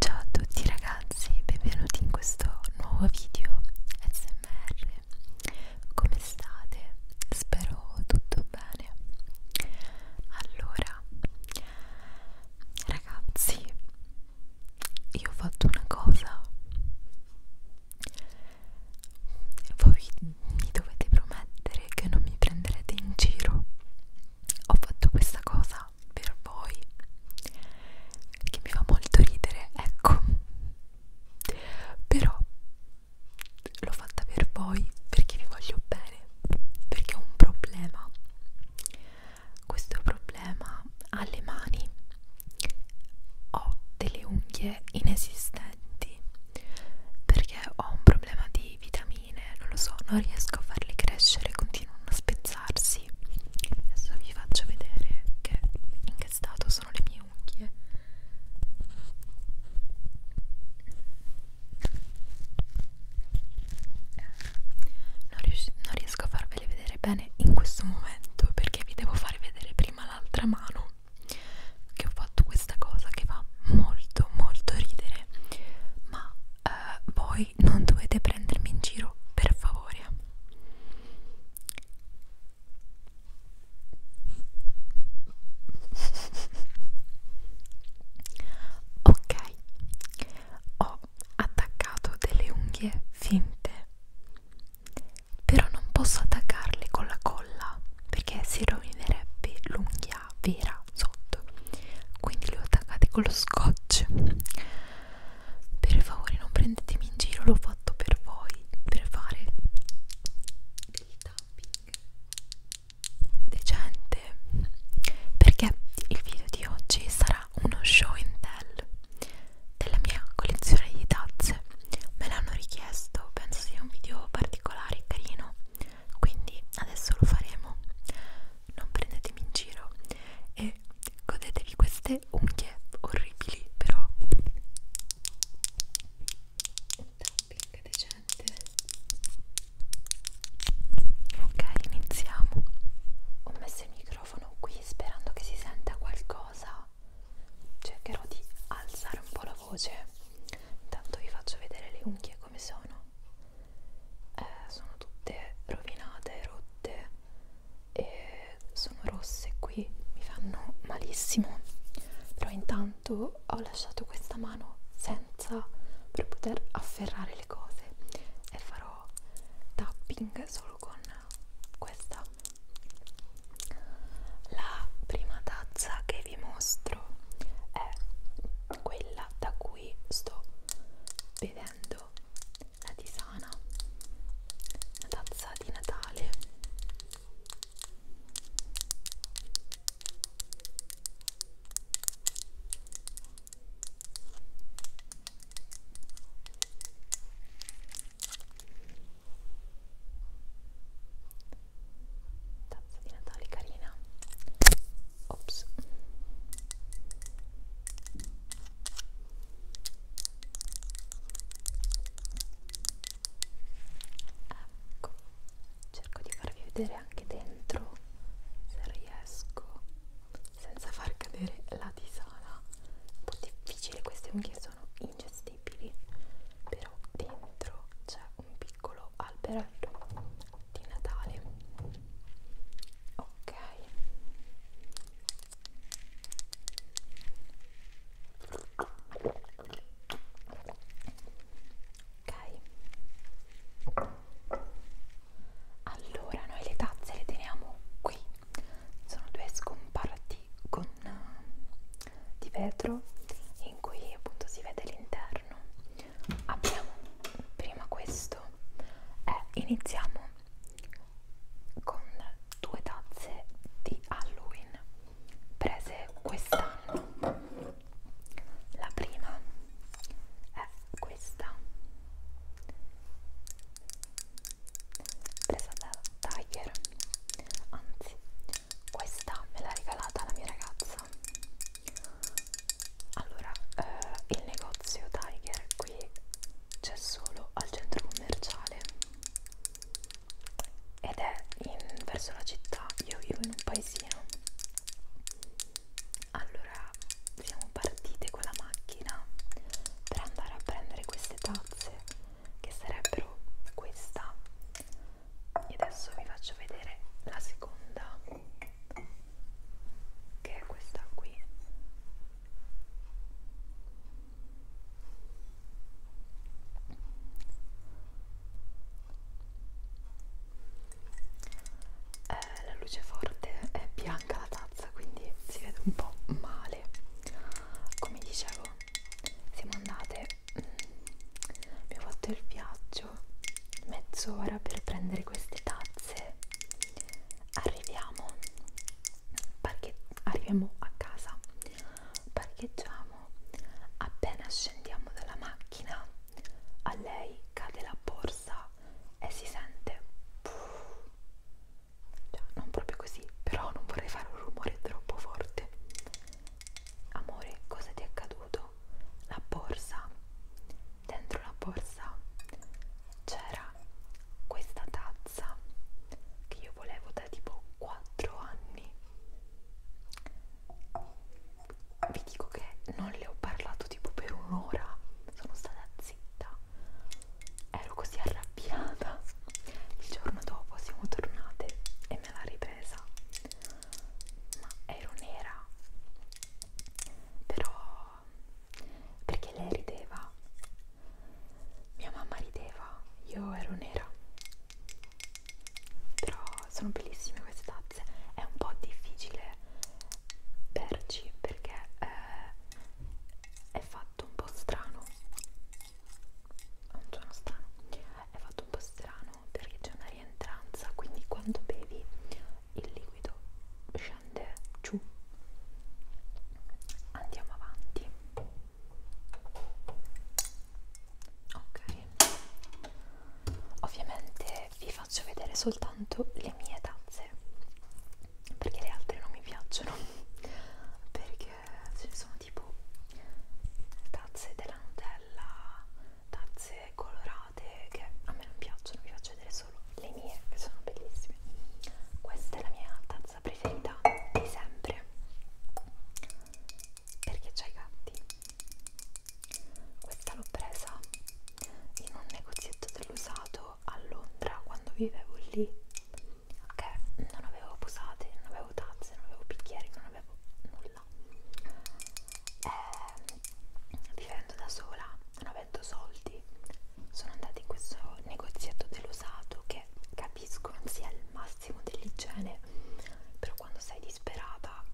Ciao a tutti ragazzi, benvenuti in questo nuovo video SMR. Come state? Spero tutto bene. Allora, ragazzi, io ho fatto una cosa. Voi mi dovete promettere che non mi prenderete in giro. Ho fatto questa cosa ha per voi che mi fa molto ridere ecco però l'ho fatta per voi perché vi voglio bene perché ho un problema questo problema alle mani ho delle unghie inesistenti perché ho un problema di vitamina piumine, non lo so, non riesco a farli crescere, continuano a spezzarsi. Adesso vi faccio vedere che in che stato sono le mie unghie. Non, rius non riesco a farvele vedere bene in questo momento perché vi devo far vedere prima l'altra mano che ho fatto questa cosa che fa molto molto ridere ma uh, voi non dovete prendermi in giro, per favore. Ok, ho attaccato delle unghie finte, però non posso attaccarle con la colla perché si rovinerebbe l'unghia la vera sotto quindi le ho attaccate con lo scotch per favore non prendetemi in giro l'ho fatto per voi per fare del tapping decente perché il video di oggi sarà uno show and tell della mia collezione di tazze me l'hanno richiesto penso sia un video particolare e carino quindi adesso lo faremo non prendetemi in giro e godetevi queste unghie orribili però tapping decente ok iniziamo ho messo il microfono qui sperando che si senta qualcosa cercherò di alzare un po' la voce intanto vi faccio vedere le unghie come sono eh, sono tutte rovinate, rotte e sono rosse qui, mi fanno malissimo. Però intanto ho lasciato questa mano senza per poter afferrare le cose e farò tapping solo con questa. La prima tazza che vi mostro è quella da cui cui sto bevendo la tisana, una tazza di Natale. Tazza di Natale carina Ops. Ecco, cerco di farvi vedere anche dentro se riesco senza far cadere la tisana. Un po' difficile, queste unghie sono ingestibili, però dentro c'è un piccolo alberello di Natale ok ok allora noi le tazze le teniamo qui sono due scomparti con, uh, di vetro in cui appunto si vede l'interno apriamo prima questo e iniziamo con due tazze di Halloween prese quest'anno la prima è questa presa da Tiger anzi questa me l'ha regalata la mia ragazza allora eh, il negozio Tiger qui c'è solo al centro commerciale ed è in, verso la città io vivo in un paesino allora siamo partite con la macchina per andare a prendere queste tazze che sarebbero questa e adesso vi faccio vedere la seconda che è questa qui eh, la luce forte è bianca la tazza quindi si vede un po' male come dicevo siamo andate mm, abbiamo fatto il viaggio viaggio mezz'ora per prendere queste tazze arriviamo arriviamo a casa parcheggiamo appena scendiamo dalla macchina a lei cade la borsa e si sente puff, cioè non proprio così però non vorrei fare un rumore troppo forte amore cosa ti è accaduto? la borsa dentro la borsa c'era questa tazza che io volevo da tipo 4 anni vi dico che non le ho parlato tipo per un'ora sono stata zitta ero così arrabbiata il giorno dopo siamo tornate e me l'ha ripresa ma ero nera però perché lei rideva mia mamma rideva io ero nera però sono bellissime queste tazze è un po' difficile perci perché eh, è fatto un po' strano non sono strano è fatto un po' strano piano perché c'è una rientranza quindi quando bevi il liquido scende giù andiamo avanti ok ovviamente vi faccio vedere soltanto le mie tazze perché le altre non mi piacciono perché ce ne sono tipo tazze della Nutella tazze colorate che a me non piacciono, vi faccio vedere solo le mie che sono bellissime. Questa è la mia tazza preferita di sempre perché c'ha i gatti. Questa l'ho presa in un negozietto dell'usato a Londra quando vivevo lì. Ok, non avevo posate, non avevo tazze, non avevo bicchieri, non avevo nulla nulla e, ehm, vivendo da sola non avendo soldi sono andata in questo negozietto dell'usato che capisco non sia il massimo dell'igiene però quando sei disperata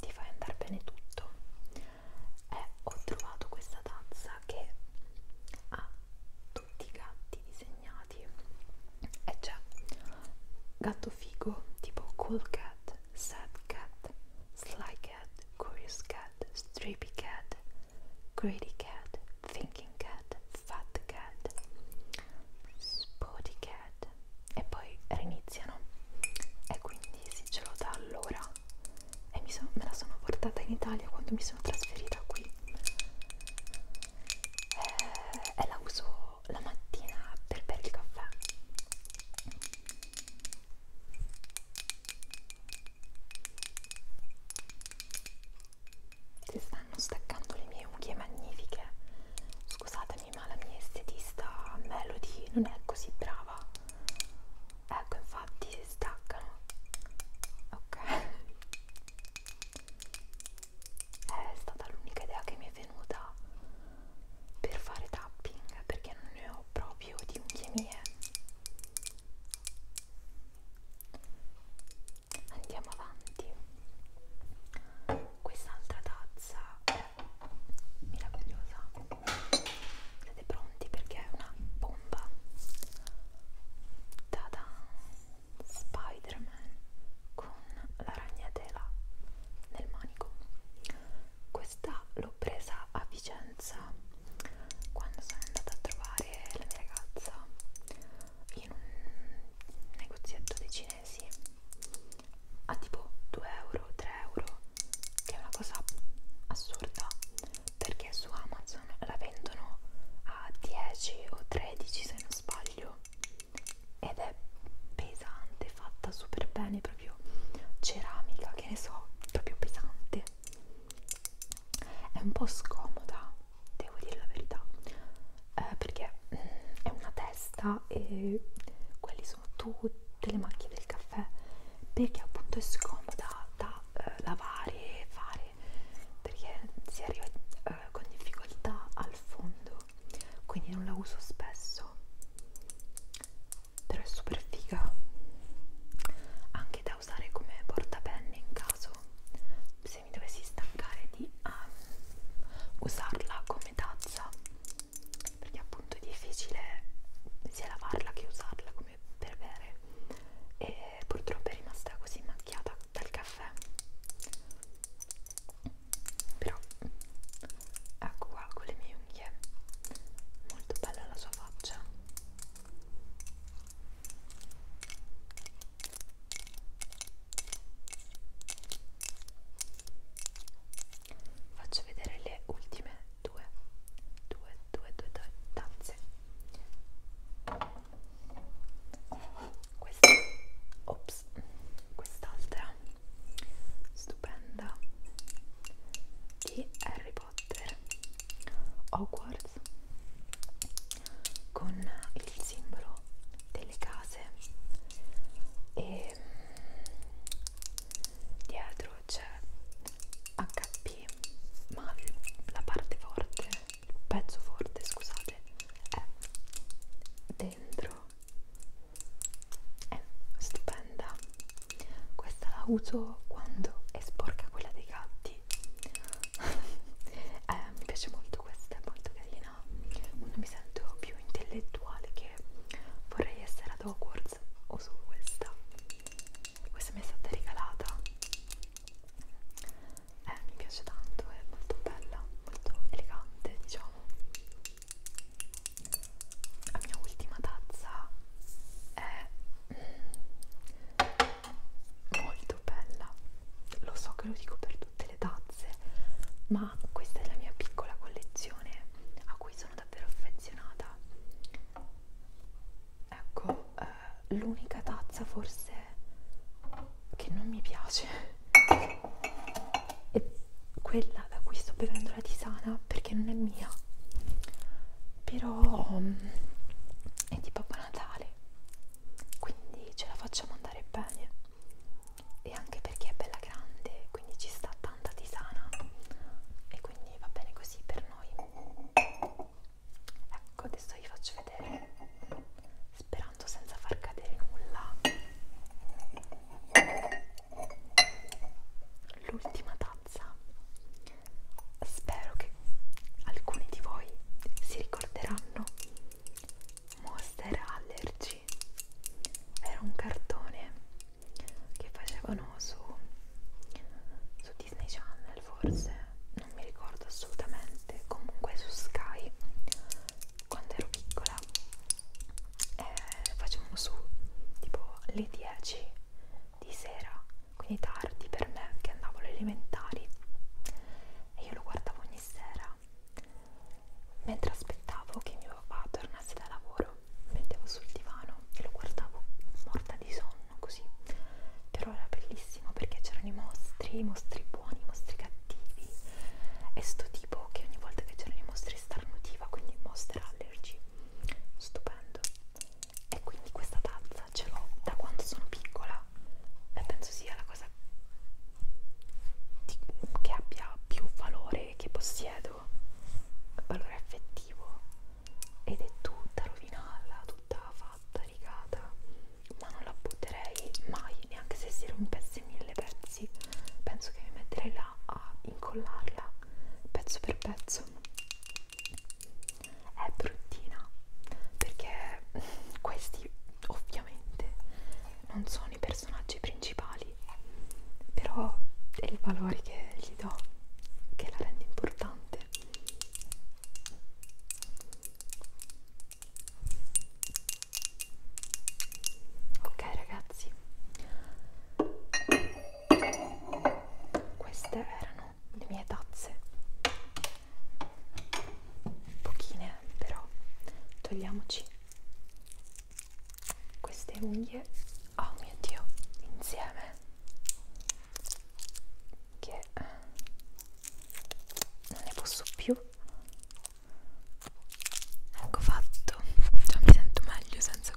ti fai andare bene tutto e ho trovato questa tazza che ha tutti i gatti disegnati e c'è gatto figo tipo cool cat sad cat, sly cat, curious cat, sleepy cat, greedy cat, thinking cat, fat cat, spotty cat e poi riniziano e quindi sì ce l'ho da allora e mi sono, me la sono portata in Italia quando mi sono trasferita qui e, eh, e la uso uso la mattina per bere il caffè si stanno staccando le mie unghie magnifiche scusatemi ma la mia estetista Melody non è così brava ecco infatti si staccano ok è stata l'unica idea che mi è venuta per fare tapping perché non ne ho proprio di unghie mie andiamo avanti quest'altra tazza è meravigliosa siete pronti perché è una bomba da Spider Spider-Man con la ragnatela nel manico. Questa l'ho presa a Vicenza quando sono andata a trovare la mia ragazza in un negozietto dei cinesi a tipo 2 euro, 3 euro, che è una cosa assurda perché su Amazon la vendono a 10 o 13 se non sbaglio ed è pesante, fatta super bene, proprio ceramica, che ne so, proprio pesante. È un po' scomoda, devo dire la verità, eh, perché mm, è una testa e quelli sono tutte le macchie del caffè, perché appunto è scomoda da eh, lavare e fare, perché si arriva eh, con difficoltà al fondo quindi non la uso spesso però è super figa anche da usare come portapenne in caso se mi dovessi stancare di um, usarla come tazza perché appunto è difficile sia lavarla che usarla come per bere e purtroppo è rimasta così macchiata dal caffè però ecco qua con le mie unghie molto bella la sua faccia faccio vedere le ultime due due due due, due tazze questa ops quest'altra stupenda di Harry Potter Hogwarts con il simbolo delle case e mm, dietro c'è HP ma la parte forte il pezzo forte scusate è del dentro è stupenda questa la uso quando è sporca quella dei gatti eh, mi piace molto questa è molto carina non mi sento più intellettuale che vorrei essere ad Hogwarts o su questa questa mi è stata regalata eh, mi piace tanto, è molto bella, molto elegante diciamo. La mia ultima tazza è molto bella, lo so che lo dico per tutte le tazze, ma questa è la mia piccola collezione a cui sono davvero affezionata. Ecco, eh, l'unica tazza forse che non mi piace è quella da cui sto bevendo la tisana perché non è mia però um, è di Babbo Natale quindi ce la facciamo andare bene e anche perché è bella grande quindi ci sta tanta tisana e quindi va bene così per noi ecco adesso vi faccio vedere sperando senza far cadere nulla l'ultima tazza spero che alcuni di voi si ricorderanno Monster Allergy era un cartone che facevano su, su Disney Channel forse non mi ricordo assolutamente comunque su Sky quando ero piccola eh, facevano su tipo le 10 di sera quindi tardi per me che andavo alle elementari e io lo guardavo ogni sera mentre aspettavo che mio papà tornasse da lavoro mi mettevo sul divano e lo guardavo morta di sonno così però era bellissimo perché c'erano i mostri i mostri buoni i mostri cattivi è sto tipo che ogni volta che c'erano i mostri starnutiva quindi Monster Allergy stupendo e quindi questa tazza ce l'ho da quando sono piccola e penso sia la cosa di, che abbia più valore che possiedo valore affettivo ed è tutta rovinata tutta fatta rigata ma non la butterei mai neanche se si rompesse mille pezzi penso che mi metterei là a incollarla pezzo per pezzo è bruttina perché questi ovviamente non sono i personaggi principali però è il valore che gli do che la rende importante ok ragazzi queste erano le mie tazze pochine però togliamoci queste unghie oh mio dio insieme che non ne posso più Ecco fatto, già mi sento meglio senza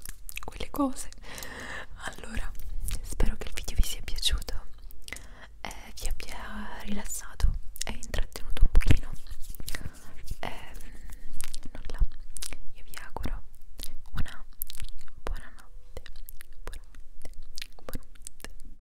quelle cose. Allora, spero che il video vi sia piaciuto e vi abbia rilassato e intrattenuto un pochino. E ehm, nulla, io vi auguro una buona notte. Buonanotte, buonanotte.